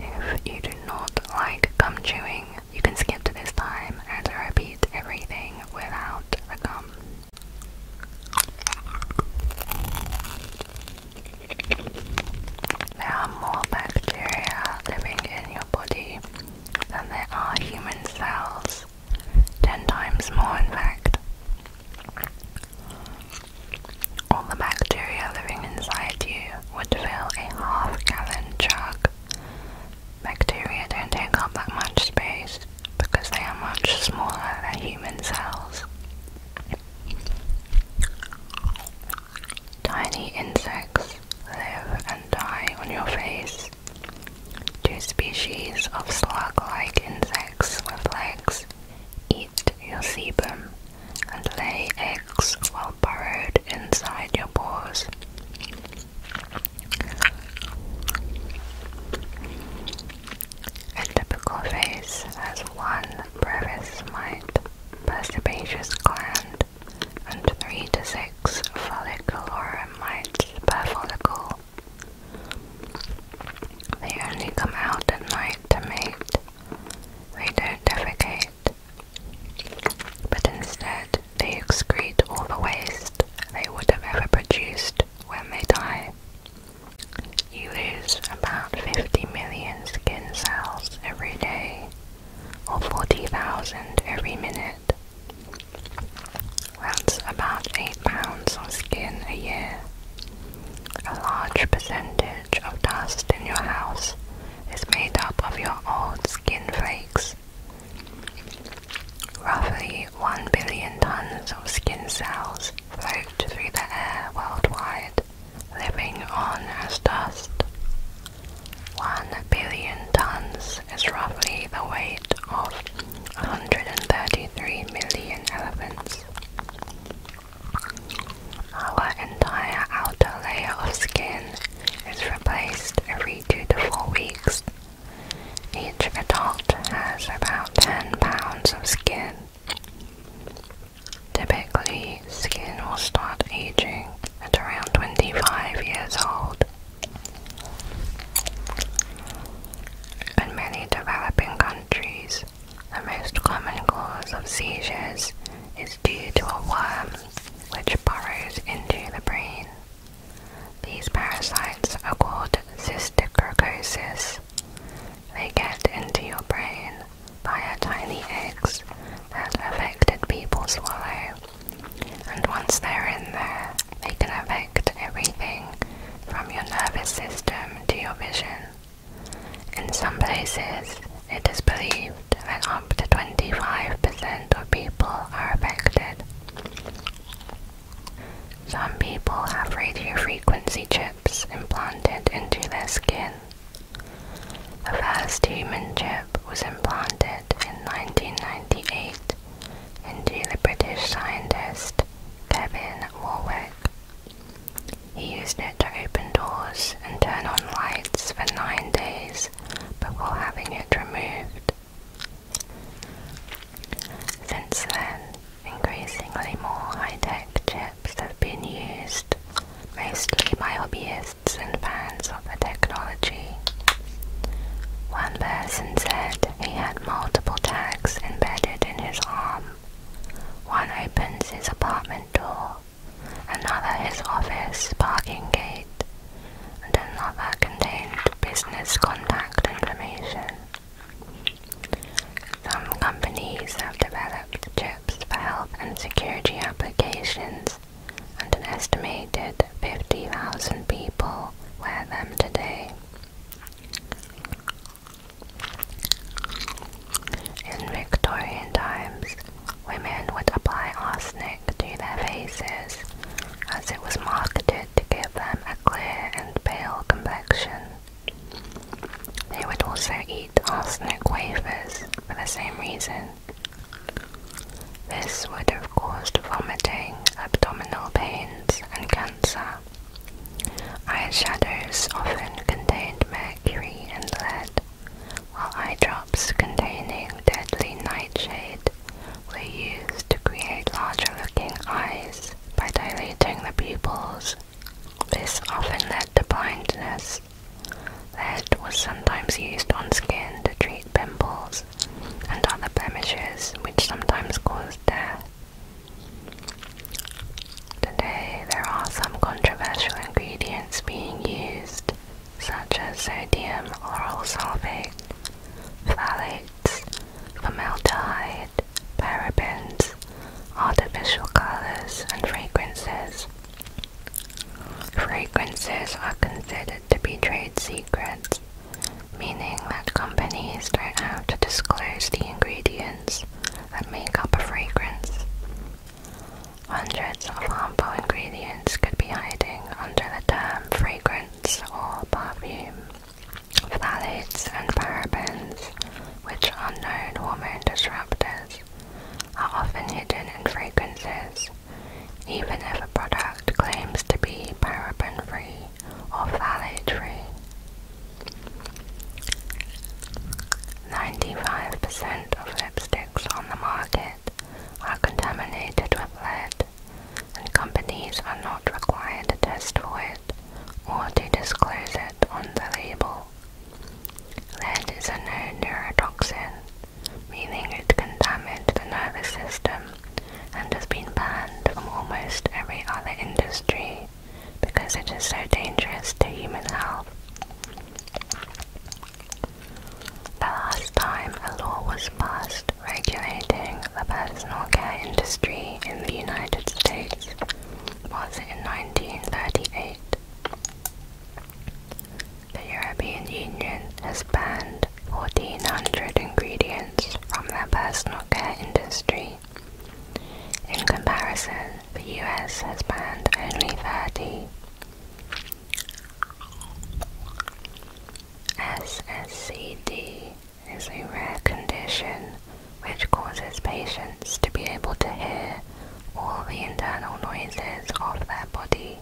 If you do not like gum chewing, you can skip this time and repeat everything without a gum. There are more bacteria living in your body than there are human cells. Ten times more, in fact all the bacteria living inside you would fill a half gallon jug. Bacteria don't take up that much space because they are much smaller than human cells. Tiny insects live and die on your face. Two species of slug like insects with legs eat your sebum, and lay eggs while burrowed inside your paws. A typical face has one brevis mite, perspicacious gland, and three to six folliculorum mites per follicle. They only come out at night to mate. They don't defecate, but instead, they excrete all the waste they would have ever produced when they die. You lose about 50 million skin cells every day, or 40,000 every minute. That's about 8 pounds of skin a year. A large percentage of dust in your house is made up of your old skin flakes. Roughly 1 billion tons of skin cells float through the air worldwide, living on as dust. 1 billion tons is roughly the weight of 133 million elephants. Our entire outer layer of skin is replaced every 2 to 4 weeks. Each adult has about 10 pounds of skin. Typically, skin will start aging at around 25 years old. In many developing countries, the most common cause of seizures is due to a worm which burrows into the brain. These parasites are called cysticercosis. They get into your brain via tiny eggs that affected people swallow. And once they're in there, they can affect everything from your nervous system to your vision. In some places, it is believed when up to 25% of people are affected. Some people have radiofrequency chips implanted into their skin. The first human chip was implanted in 1998 into the British scientist Kevin Warwick. He used it to open doors and turn on lights for 9 days but before having it removed. Since then, increasingly more high-tech chips have been used, mostly by hobbyists and fans of the technology. One person said he had multiple tags embedded in his arm. One opens his apartment door another his office parking gate, and another contained business contact information. Some companies have developed chips for health and security applications, and an estimated 50,000 people wear them today. In Victorian times, women would apply arsenic to their faces, as it was marketed to give them a clear and pale complexion. They would also eat arsenic wafers for the same reason. This would have caused vomiting, abdominal pains, and cancer. Eyeshadows often contained mercury and lead, while eye drops containing deadly nightshade were used to create larger looking eyes by dilating the pupils. This often led to blindness. Lead was sometimes used on skin to treat pimples and other blemishes, which sometimes caused death. Today, there are some controversial ingredients being used such as sodium oral sulfate, phthalates, formaldehyde, parabens, artificial colors, and fragrances. Fragrances are considered to be trade secrets, meaning that companies don't have to disclose the ingredients that make up a fragrance. Hundreds of harmful ingredients could be hiding under the term fragrance or perfume. Phthalates and parabens, which are known hormone disruptors, are often hidden in fragrances, even if a product claims to be paraben-free or phthalate-free. 95% of lipsticks on the market are contaminated with lead, and companies are not required to test for it or to disclose it on the label. Lead is a known neurotoxin, meaning it can damage the nervous system and has been banned from almost every other industry because it is so dangerous to human health. The last time a law was passed regulating the personal care industry in the United States was in 1938. The European Union has banned 1,400 ingredients from the personal care industry. In comparison, the US has banned only 30. SSCD is a rare condition which causes patients to be able to hear all the internal noises of their body.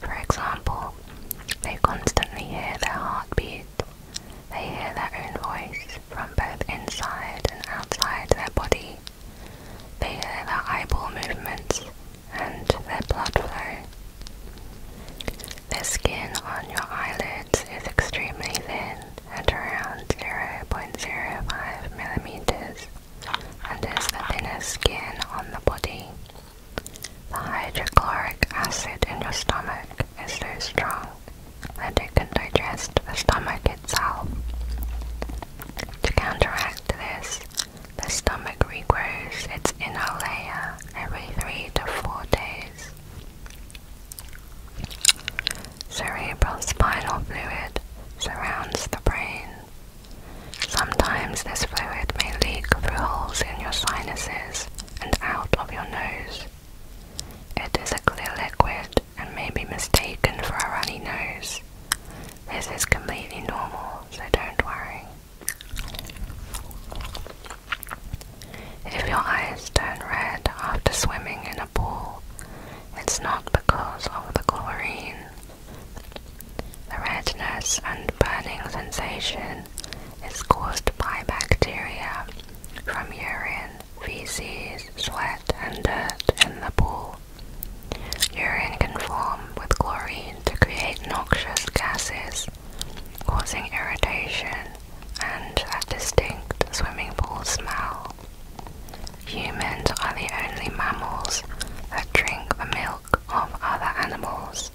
For example, they constantly hear their heartbeat. They hear their own voice from both inside and outside their body. They hear their eyeball movements and their blood flow. The skin on your eyelids is extremely thin at around 0.05 millimeters and is the thinnest skin on the body. The hydrochloric acid in your stomach is so strong that it can digest the stomach itself. To counteract this, the stomach regrows its inner layer every three to four days. Cerebral spinal fluid surrounds the brain. Sometimes this fluid may leak through holes in your sinuses and out of your nose. It is a clear liquid and may be mistaken for a runny nose, this is completely normal, so don't worry. If your eyes turn red after swimming in a pool, it's not because of the chlorine. The redness and burning sensation is caused by bacteria from urine, feces, sweat, and dirt in the pool. Urine can form with chlorine to create noxious gases, causing irritation and a distinct swimming pool smell. Humans are the only mammals that drink the milk of other animals.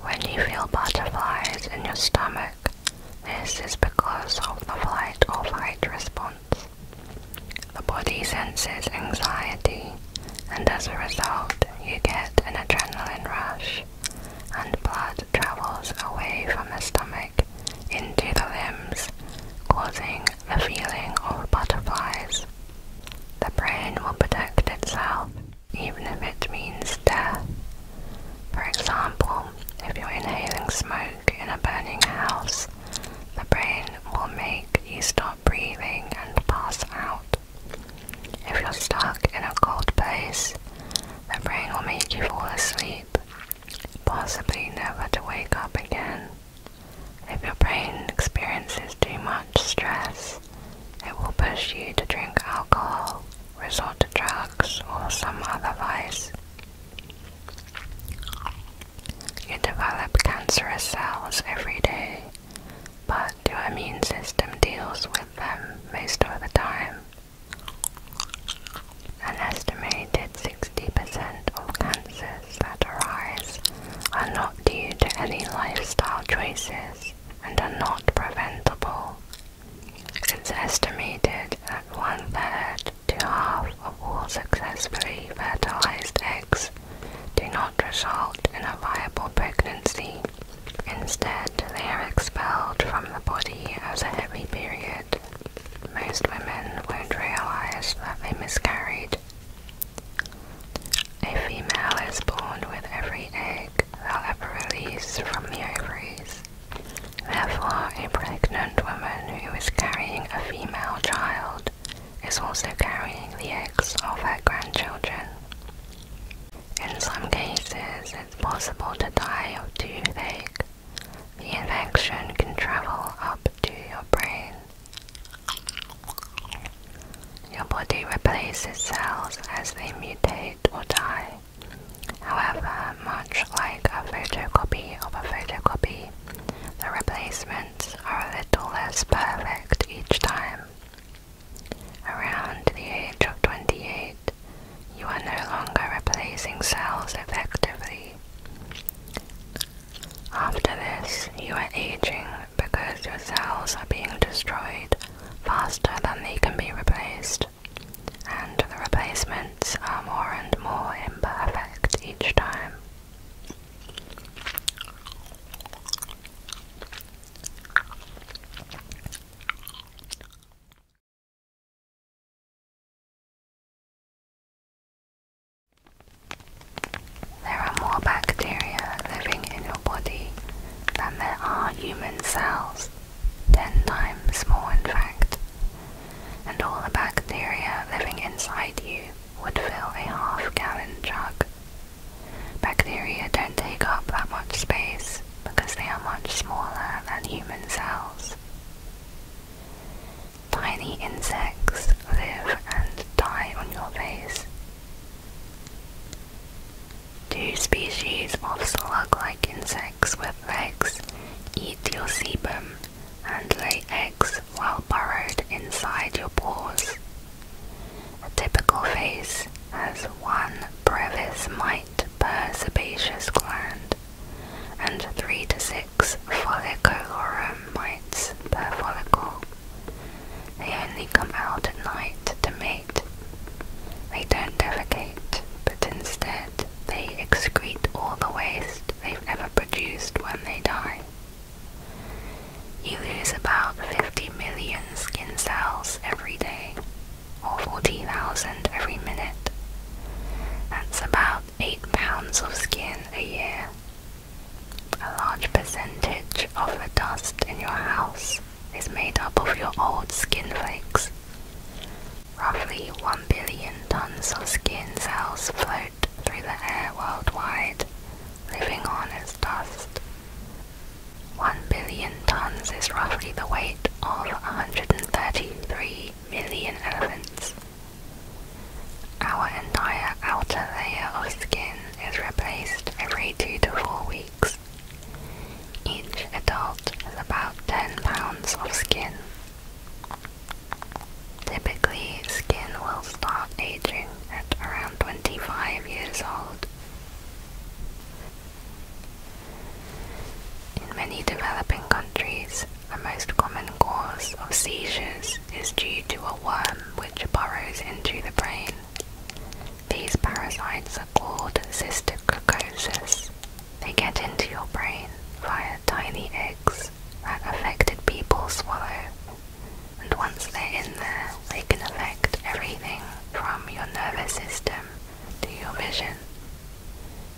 When you feel butterflies in your stomach, this is because of the flight or fight response the body senses anxiety, and as a result, you get an adrenaline rush, and blood travels away from the stomach into the limbs, causing a feeling of butterflies. The brain will protect itself even if it means death. For example, if you're inhaling smoke in a burning house, the brain will make you stop breathing and pass out. If you're stuck in a cold place, the brain will make you fall asleep, possibly never to wake up again. If your brain experiences too much stress, it will push you to drink alcohol, resort to drugs, or some other vice. You develop cancerous cells every day, but your immune system deals with them most of the time. An estimated 60% of cancers that arise are not due to any lifestyle choices and are not preventable. It's estimated that one third to half of all successfully fertilized eggs do not result in a viable pregnancy. Instead, they are expelled from the body as a heavy period. Most women won't realize that they miscarried. A female is born with every egg they ever released from the ovaries. Therefore, a pregnant woman who is carrying a female child is also carrying the eggs of her grandchildren. In some cases, it's possible to die of toothache. The infection can travel up to your brain. Your body replaces cells as they mutate or die. However, much like a photocopy of a photocopy, the replacement are a little less perfect each time. Around the age of 28, you are no longer replacing cells effectively. After this, you are aging because your cells are being destroyed faster than they can be replaced, and the replacements are more and more imperfect each time. There are more bacteria living in your body than there are human cells, 10 times more in fact. And all the bacteria living inside you would fill a half-gallon jug. Bacteria don't take up that much space because they are much smaller than human cells. Tiny insects live and die on your face. Two species of slug-like insects with legs eat your sebum and lay eggs while burrowed inside your pores. A typical face has one brevis mite per sebaceous gland and three to six follicularum mites per follicle. They only come out at night to mate. They don't defecate, but instead they excrete all the waste they've ever produced when they die. You lose about 50 million skin cells every day, or 40,000 every minute. That's about 8 pounds of skin a year. A large percentage of the dust in your house is made up of your old skin flakes. Roughly 1 billion tons of skin cells float through the air worldwide, living on is dust. One billion tons is roughly the weight of 133 million elephants. Our entire outer layer of skin is replaced every two to four weeks. Each adult has about 10 pounds of skin. Typically, skin will start aging at around 25 years old. In many developing countries, the most common cause of seizures is due to a worm which burrows into the brain. These parasites are called cysticercosis. They get into your brain via tiny eggs that affected people swallow and once they're in there, they can affect everything from your nervous system to your vision.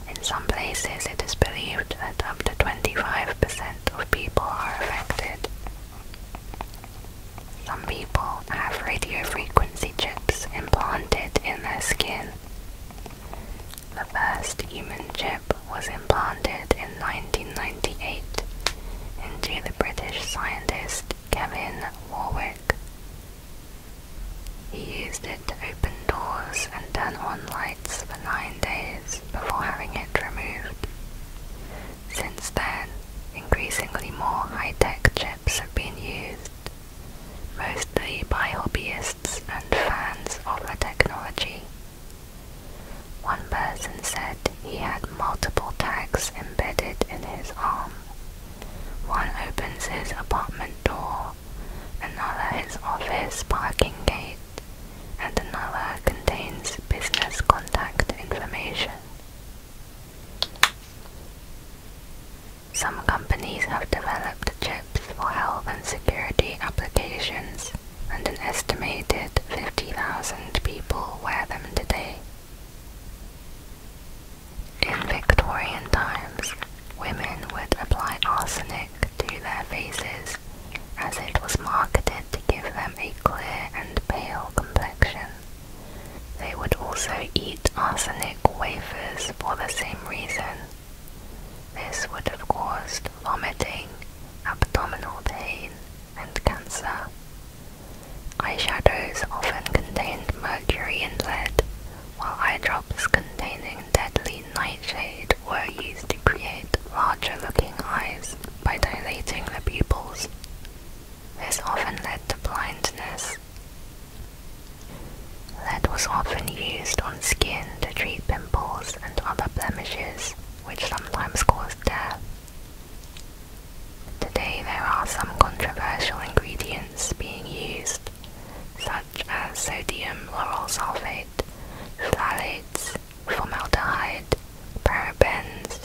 In some places, it is believed that up to 25% of people are affected. Some people have radiofrequency chips implanted in their skin. The first human chip was implanted in 1998 into the British scientist Kevin Warwick. He used it to open doors and turn on lights for nine days before having it removed. Since then, increasingly more high-tech chips have been used, mostly by hobbyists and fans of the technology. One person said he had multiple tags embedded in his arm. One opens his apartment door, another his office parking gate, and another contains business contact information. Some companies have developed chips for health and security applications and an estimated 50,000 people wear them today. In Victorian times, women would apply arsenic to their faces as it was marketed to give them a clear and pale complexion. They would also eat arsenic wafers for the same reason. This would have caused vomiting, abdominal pain, and cancer. Eyeshadows often contained mercury and lead, while eye drops containing deadly nightshade were used to create larger looking eyes by dilating the pupils. This often led to blindness. Lead was often used on skin to treat pimples and other blemishes, which sometimes caused death. Today there are some controversial ingredients being used, such as sodium laurel sulfate, phthalates, formaldehyde, parabens,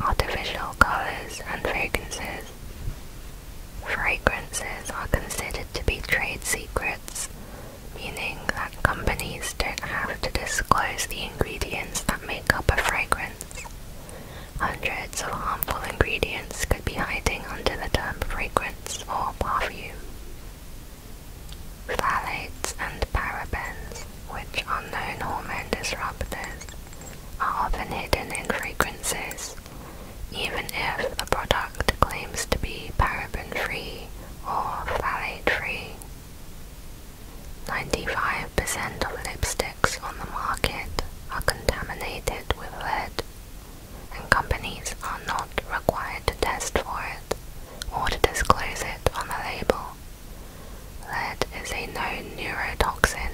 artificial colors and fragrances. Fragrances are considered to be trade secrets, meaning that companies don't have to disclose the ingredients that make fragrance. Hundreds of harmful ingredients could be hiding under the term fragrance or perfume. Phthalates and parabens, which are known hormone disruptors, are often hidden in fragrances, even if the product claims to be paraben-free or phthalate-free. 95% of lipsticks on the market are contaminated with lead, and companies are not required to test for it or to disclose it on the label. Lead is a known neurotoxin,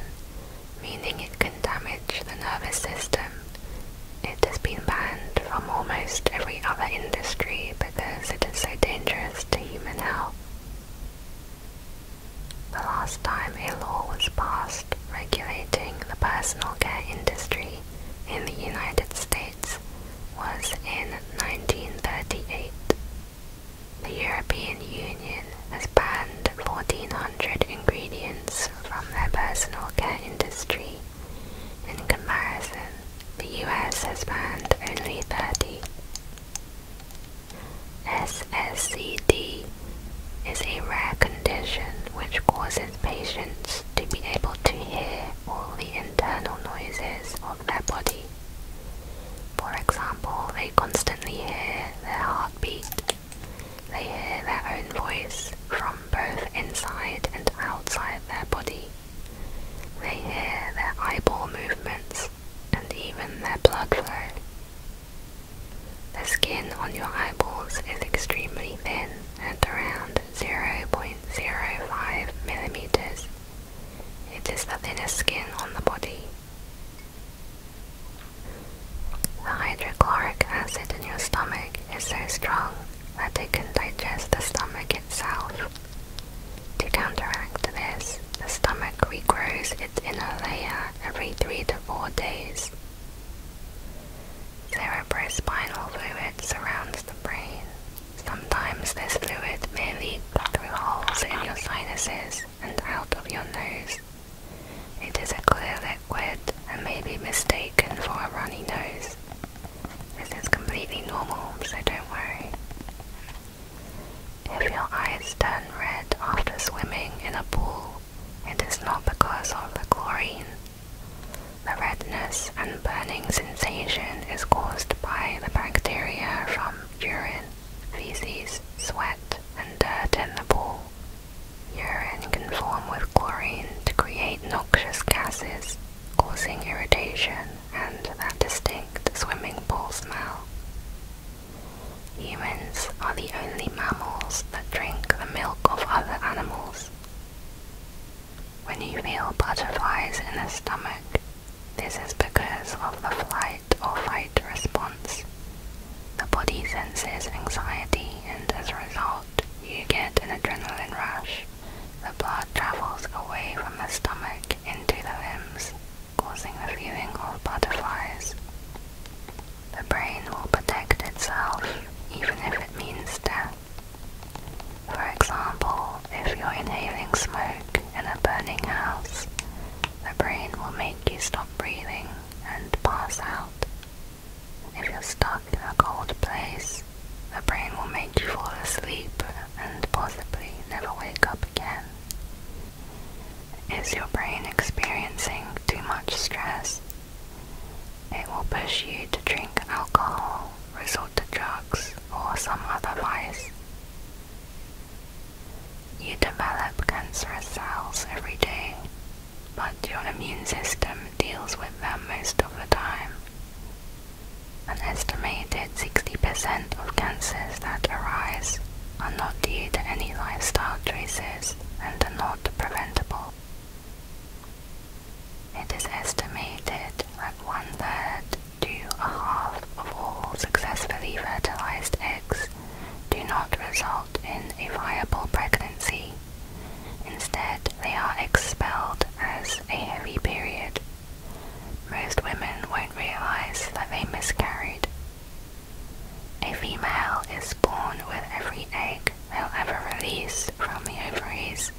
meaning it can damage the nervous system. It has been banned from almost every other industry because it is so dangerous to human health. The last time a law was passed regulating the personal care industry in the United States was in 1938. The European Union has banned 1400 ingredients from their personal care industry. In comparison, the US has banned only 30. SSCD is a rare condition which causes patients to be able to hear all the internal noises of their body. For example, they constantly hear their heartbeat. They hear their own voice from both inside and outside their body. They hear their eyeball movements and even that blood flow. The skin on your eyeballs is extremely thin and around 0.05 millimeters. It is the thinnest skin on the body. The hydrochloric acid in your stomach is so strong that it can digest the stomach itself. To counteract this, the stomach regrows its inner layer every 3 to 4 days. Cerebrospinal fluid surrounds the brain. Sometimes this fluid may leak through holes in your sinuses and out of your nose. It is a clear liquid and may be mistaken for a runny nose. This is completely normal, so don't worry. If your eyes turn red after swimming in a pool, it is not because of the chlorine. The redness and burning sensation is caused by the bacteria from urine, feces, sweat, and dirt in the pool. Urine can form with chlorine to create noxious gases, causing irritation and that distinct swimming pool smell. Humans are the only mammals that drink the milk of other animals. When you feel butterflies in the stomach, this is because of the flight or fight response. The body senses anxiety, and as a result, you get an adrenaline rush. The blood travels away from the stomach into the limbs causing the viewing of butterflies. The brain will protect itself even if it means death. For example, if you're inhaling smoke in a burning house, the brain will make you stop breathing and pass out. If you're stuck in a cold place, the brain will make you fall asleep and possibly never wake up again. Is your brain experiencing too much stress? It will push you to drink alcohol, resort to drugs, or some other vice. You develop cancerous cells every day, but your immune system deals with them most of the time. An estimated 60% of cancers that arise are not due to any lifestyle choices and are not preventable. It is estimated that one third to a half of all successfully fertilized eggs do not result in a viable pregnancy. Instead, they are expelled as a heavy period most women won't realize that they miscarried. A female is born with every egg they'll ever release from the ovaries.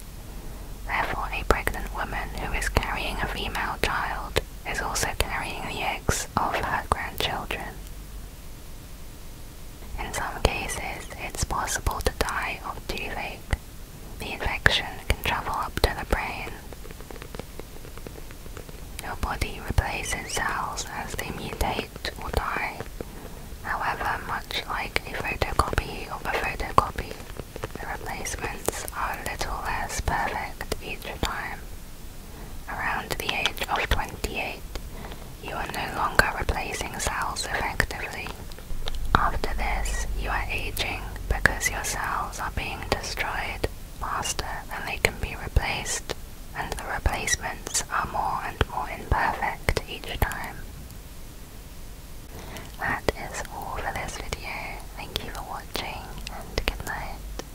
Therefore, a pregnant woman who is carrying a female child is also carrying the eggs of her grandchildren. In some cases, it's possible to die of toothache. The infection can travel up to the brain. Your body replaces cells as they mutate or die, however much like a photocopy of a photocopy, the replacements are little less perfect each time. Around the age of 28, you are no longer replacing cells effectively. After this, you are aging because your cells are being destroyed faster and they can be replaced, and the replacements are more and more imperfect each time. That is all for this video. Thank you for watching and good night.